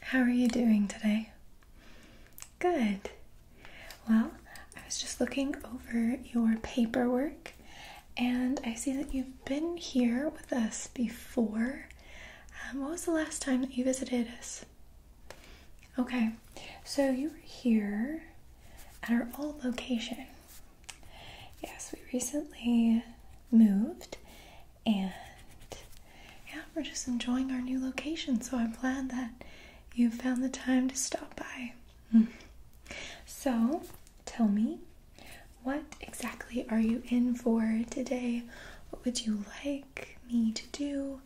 How are you doing today? Good. Well, I was just looking over your paperwork and I see that you've been here with us before. Um, what was the last time that you visited us? Okay, so you were here at our old location. Yes, we recently moved and yeah, we're just enjoying our new location, so I'm glad that you found the time to stop by. Hmm. so, tell me, what exactly are you in for today? What would you like me to do?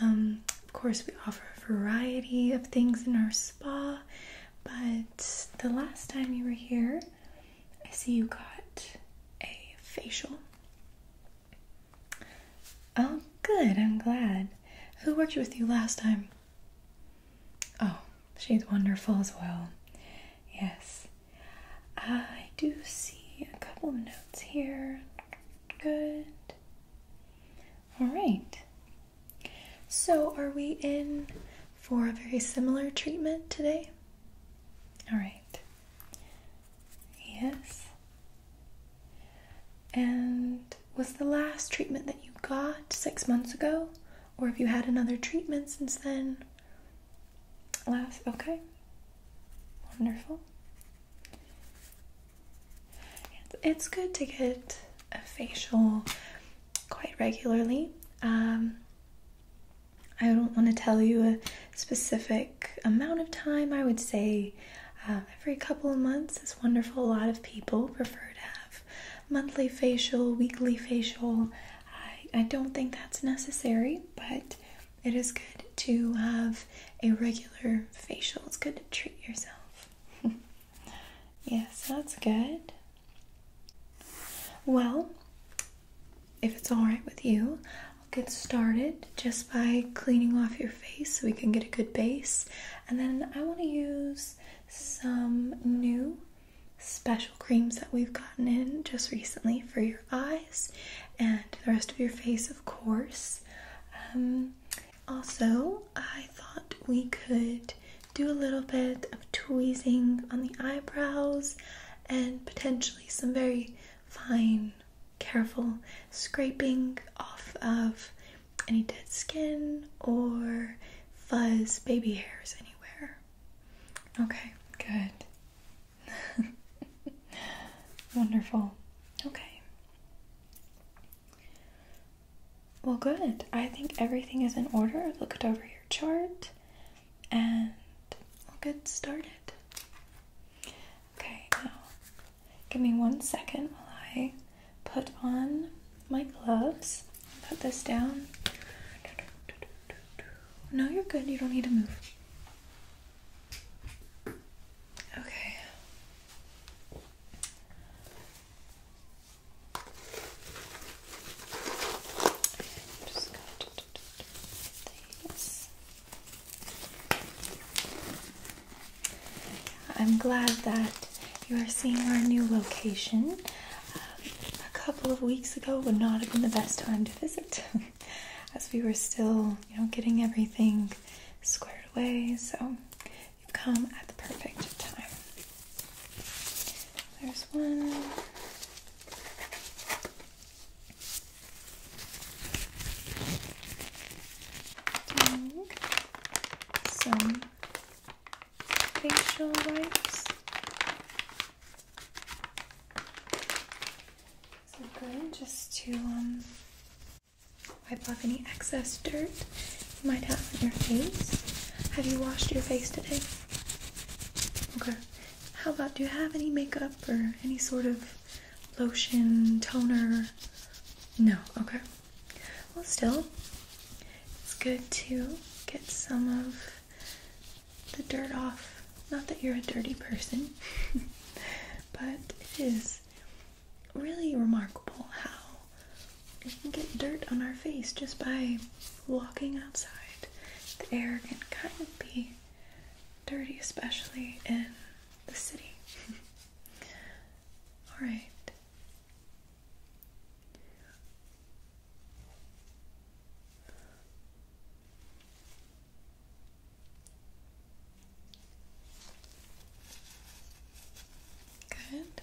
Um, of course, we offer a variety of things in our spa, but the last time you were here, I see you got a facial. Oh, good, I'm glad. Who worked with you last time? Oh, she's wonderful as well. Yes. I do see a couple of notes here. Good. All right. So, are we in for a very similar treatment today? All right. Yes. And was the last treatment that you got six months ago? Or have you had another treatment since then? Last, okay. Wonderful. It's good to get a facial quite regularly. Um, I don't want to tell you a specific amount of time. I would say um, every couple of months is wonderful. A lot of people prefer to have monthly facial, weekly facial. I don't think that's necessary, but it is good to have a regular facial. It's good to treat yourself. yes, that's good. Well, if it's alright with you, I'll get started just by cleaning off your face so we can get a good base. And then I want to use some new special creams that we've gotten in just recently for your eyes and the rest of your face, of course. Um, also, I thought we could do a little bit of tweezing on the eyebrows and potentially some very fine careful scraping off of any dead skin or fuzz baby hairs anywhere. Okay, good. Wonderful. Okay. Well, good. I think everything is in order. I've Looked over your chart and I'll get started. Okay, now give me one second while I put on my gloves. Put this down. No, you're good. You don't need to move. Okay. I'm glad that you are seeing our new location. a couple of weeks ago would not have been the best time to visit, as we were still, you know, getting everything squared away. So you've come at the perfect time. There's one some facial wipes. So good, just to um, wipe off any excess dirt you might have on your face. Have you washed your face today? Okay. How about do you have any makeup or any sort of lotion, toner? No, okay. Well, still, it's good to get some of the dirt off. Not that you're a dirty person, but it is really remarkable how we can get dirt on our face just by walking outside. The air can kind of be dirty, especially in the city. All right. Good.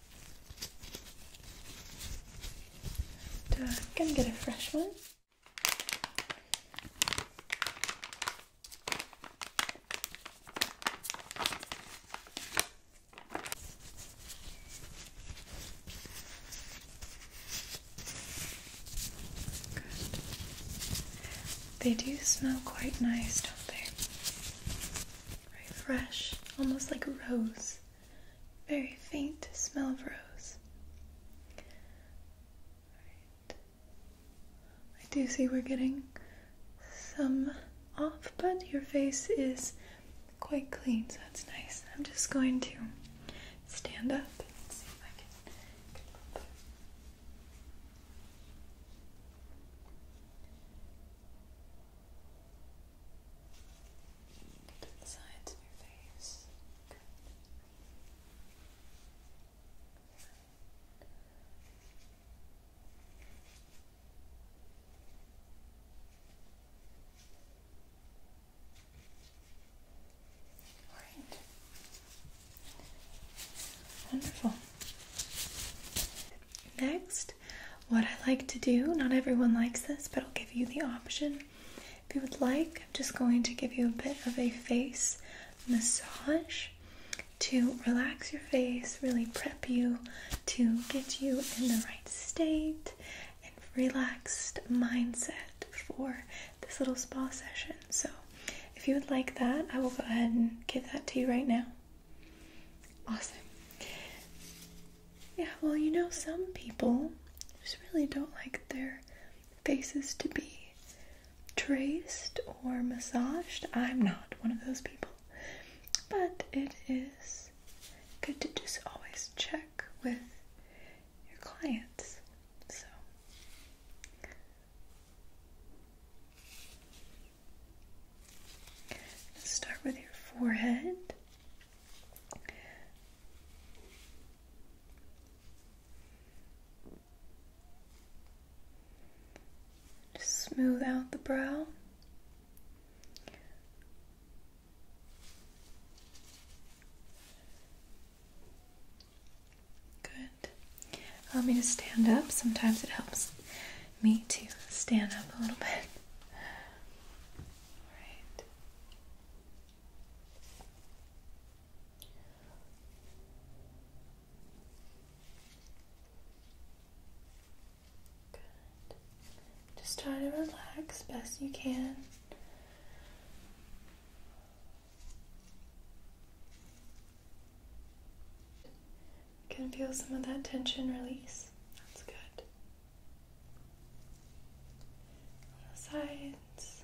Duck and get a fresh one. They do smell quite nice, don't they? Very fresh, almost like a rose very faint smell of rose. I do see we're getting some off, but your face is quite clean, so that's nice. I'm just going to stand up and see if I can get a little the sides of your face. Good. Wonderful. Next, what I like to do, not everyone likes this, but I'll give you the option. If you would like, I'm just going to give you a bit of a face massage to relax your face, really prep you to get you in the right state and relaxed mindset for this little spa session. So, if you would like that, I will go ahead and give that to you right now. Awesome. Yeah, well, you know, some people just really don't like their faces to be traced or massaged. I'm not one of those people. But it is good to just always check with your clients. So. Start with your forehead smooth out the brow. Good. Allow me to stand up. Sometimes it helps me to stand up a little bit. Just try to relax best you can. You can feel some of that tension release. That's good. On the sides.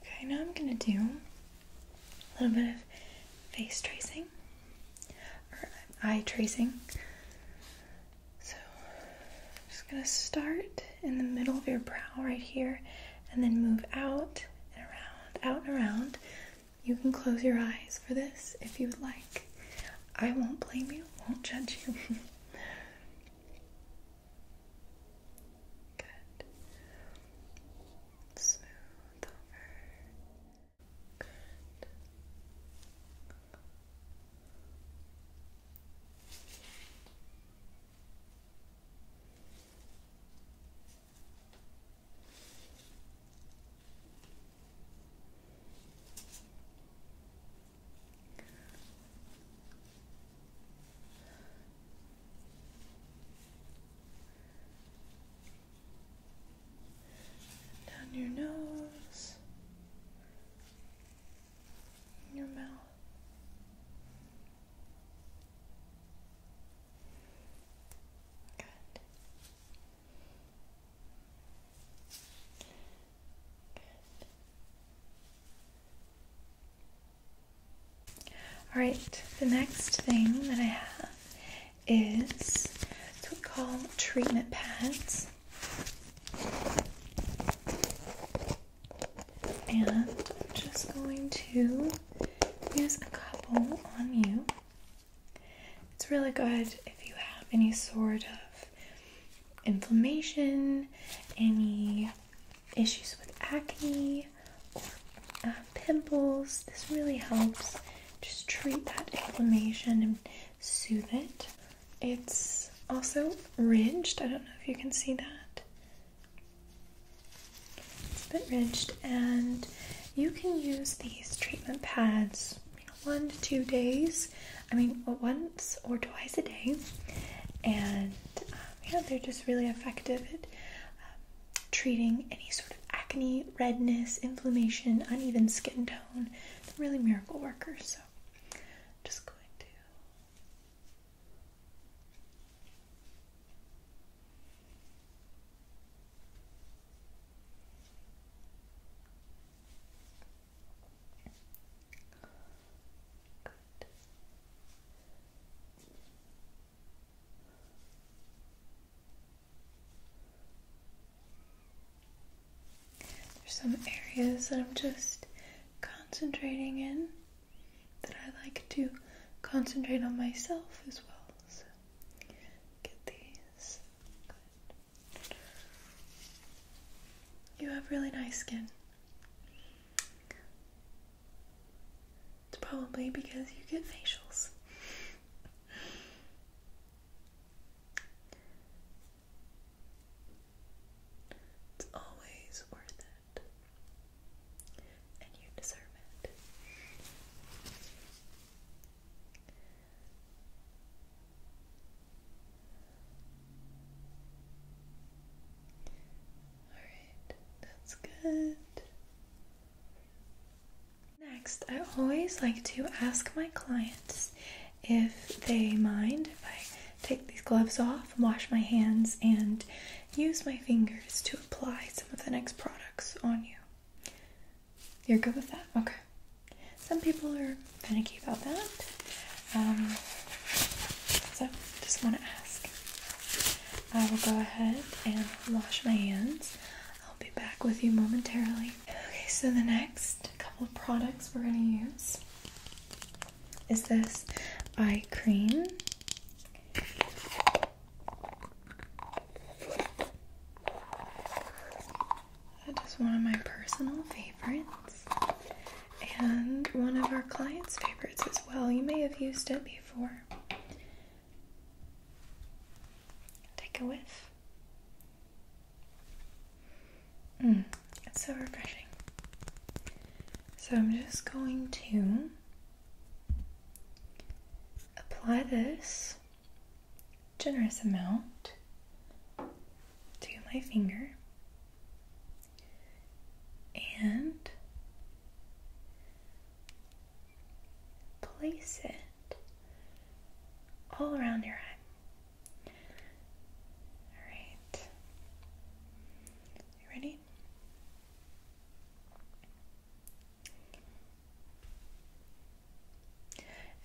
Okay, now I'm going to do a little bit of face tracing or eye tracing. So just going to start in the middle of your brow right here and then move out and around, out and around. You can close your eyes for this if you would like. I won't blame you, won't judge you. Good. Smooth over. Good. Down your nose, in your mouth. Good. All right, the next thing that I have is what we call treatment pads and I'm just going to use a couple on you. It's really good if you have any sort of inflammation, any issues with acne, or uh, pimples. This really helps just treat that inflammation and soothe it. It's also ridged. I don't know if you can see that. It's been rinsed, and you can use these treatment pads you know, one to two days. I mean, once or twice a day, and um, yeah, they're just really effective at um, treating any sort of acne, redness, inflammation, uneven skin tone. They're really miracle workers. So, I'm just going to there's some areas that I'm just concentrating in that I like to concentrate on myself as well. get these. You have really nice skin. It's probably because you get facials. It's always worth it. And you deserve it. Alright, that's good. Next, I always like to ask my clients if they mind if I take these gloves off, wash my hands, and use my fingers to apply some of the next products on you. You're good with that? Okay. Some people are finicky about that. Um, so, just want to ask. I will go ahead and wash my hands. I'll be back with you momentarily. Okay, so the next couple of products we're going to use is this eye cream that is one of my personal favorites and one of our clients' favorites as well. You may have used it before. Take a whiff. Mm, it's so refreshing. So I'm just going to apply this generous amount to my finger and place it all around your eye. All right. You ready?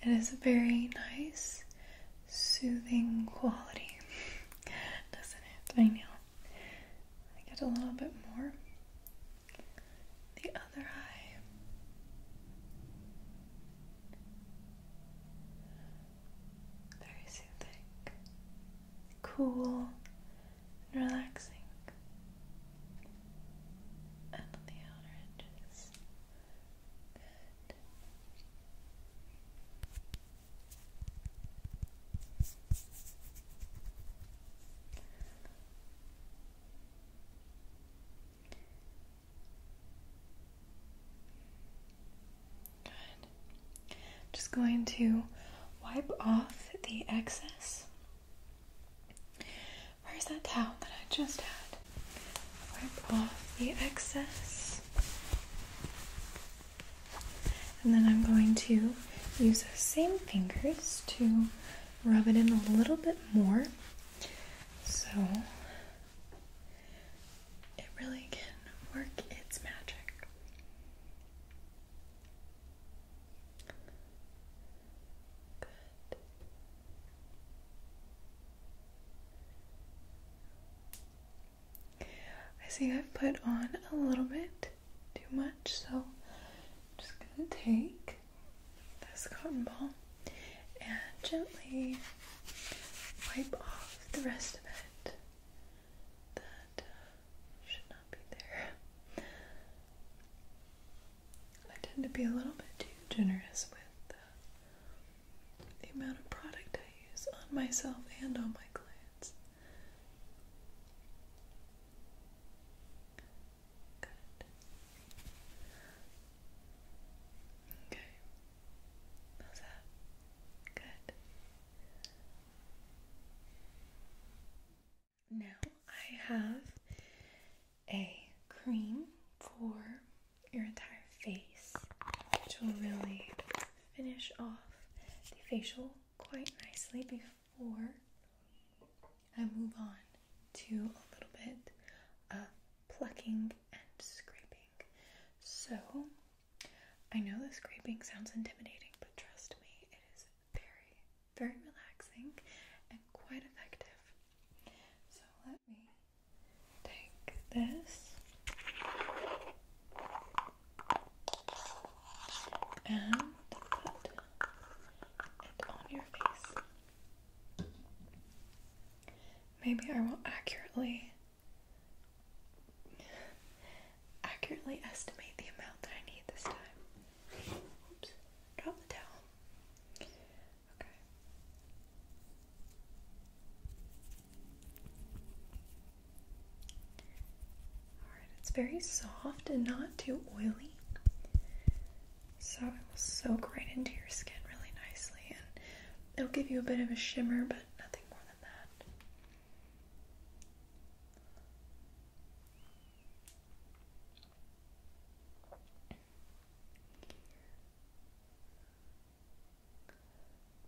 It is a very nice, soothing quality, doesn't it? I know. I get a little bit more. The other eye. Very soothing cool and relaxing. And on the outer edges just going to wipe off the excess. Where's that towel that I just had? Wipe off the excess. And then I'm going to use the same fingers to rub it in a little bit more so it really can work its magic. I see I've put on a little bit too much, so I'm just going to take this cotton ball and gently wipe off the rest of it that uh, should not be there. I tend to be a little bit too generous with uh, the amount of product I use on myself and on my clients. Good. Okay. How's that? Good. Now I have a cream for your entire face, which will really finish off the facial quite nicely before I move on to a little bit of plucking and scraping. So I know the scraping sounds intimidating, but trust me, it is very, very relaxing and quite effective. So let me take this and put it on your face. Maybe I will not accurately accurately estimate the amount that I need this time. Oops, drop the towel. Okay. Alright, it's very soft and not too oily. So it will soak right into your skin really nicely and it'll give you a bit of a shimmer, but nothing more than that.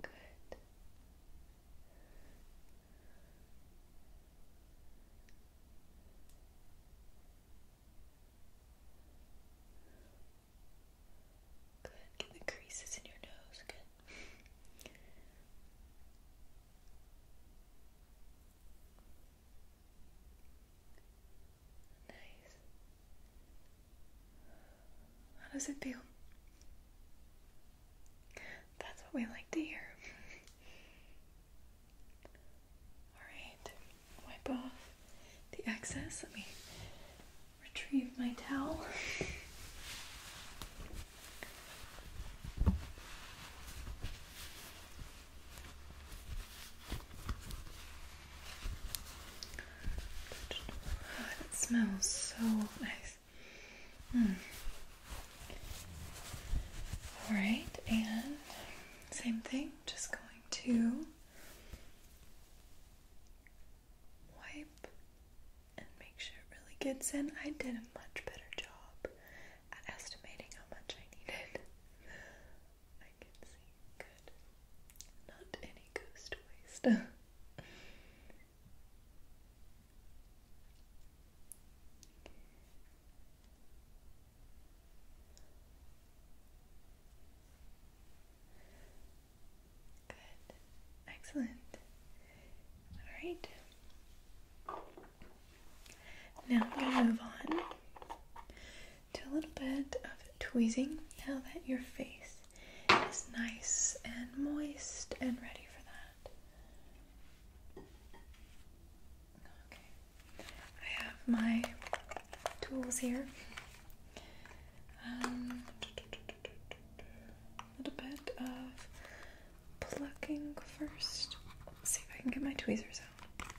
Good. Good. Get the creases in your nose. Good. Nice. How does it feel? That's what we like to hear. Alright, wipe off the excess. Let me retrieve my towel that smells so nice. Hmm. All right, and same thing, just going to wipe and make sure it really gets in. I did a much better job at estimating how much I needed. I can see good. Not any ghost waste. Good. Excellent. All right. Now I'm going to move on to a little bit of tweezing now that your face is nice and moist and ready for that. I have my tools here. Um, a little bit of plucking first. Let's see if I can get my tweezers out.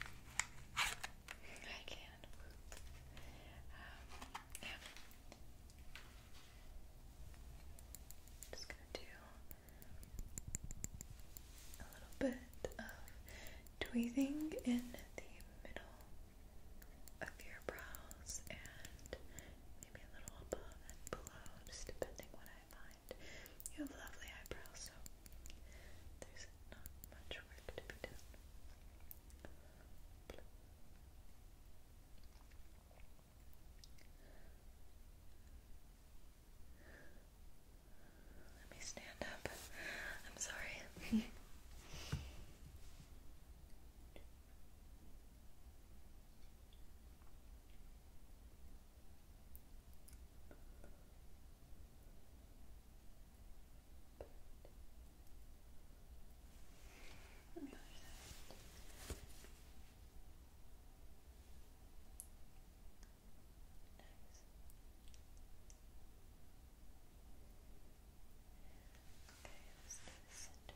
I can. Um, just gonna do a little bit of tweezing in the middle of your brows and maybe a little above and below, just depending on you have lovely eyebrows, so there's not much work to be done. Let me stand up. I'm sorry. On the Okay, let's do the center.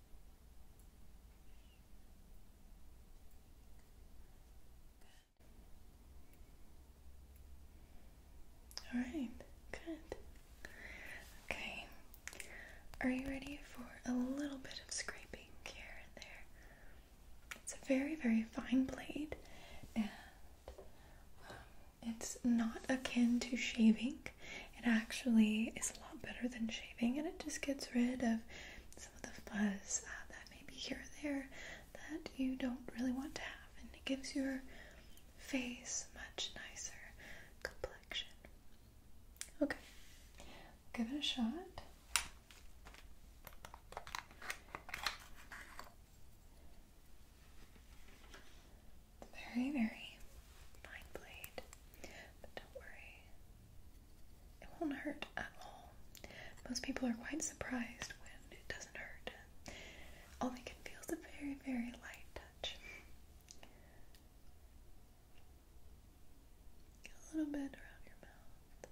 All right, good. Okay, are you ready for a little bit of scraping here and there? It's a very, very fine blade, and um, it's not akin to shaving it actually is a lot better than shaving and it just gets rid of some of the fuzz uh, that may be here or there that you don't really want to have and it gives your face much nicer complexion. Okay, give it a shot very, very fine blade. But don't worry, it won't hurt at all. Most people are quite surprised when it doesn't hurt. All they can feel is a very, very light touch. A little bit around your mouth.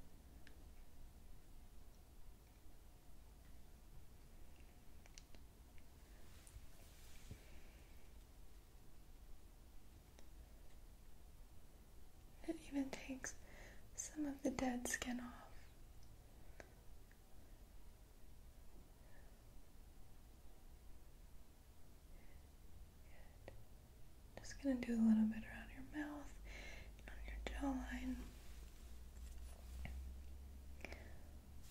It even takes some of the dead skin off. Just gonna do a little bit around your mouth and on your jawline.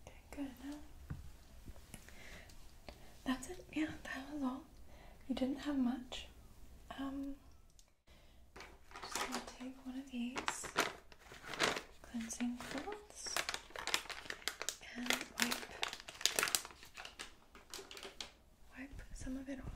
Okay, good. Now, that's it. Yeah, that was all. You didn't have much. Um, just gonna take one of these cleansing cloths and wipe wipe some of it off.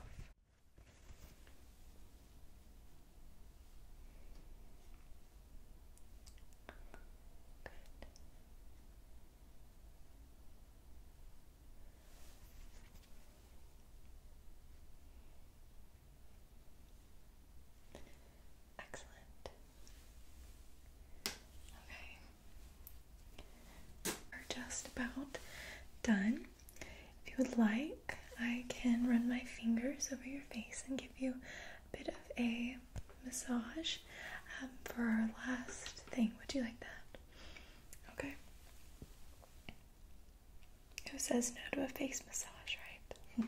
Excellent. Okay. We're just about done. If you would like, I can run my fingers over your face and give you bit of a massage um, for our last thing. Would you like that? Okay. Who says no to a face massage, right?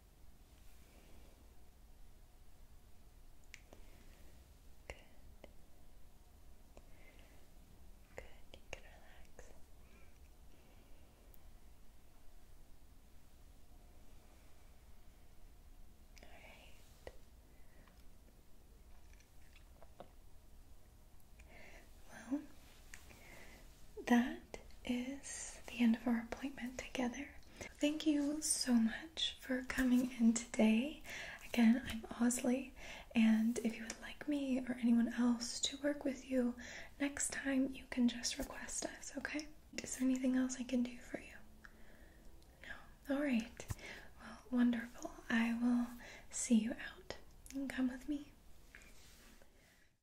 Good. Good, you can relax. All right. Well, that is the end of our appointment together. Thank you so much for coming in today. Again, I'm Osley, and if you would like me or anyone else to work with you next time, you can just request us, okay? Is there anything else I can do for you? No? Alright. Well, wonderful. I will see you out. You come with me.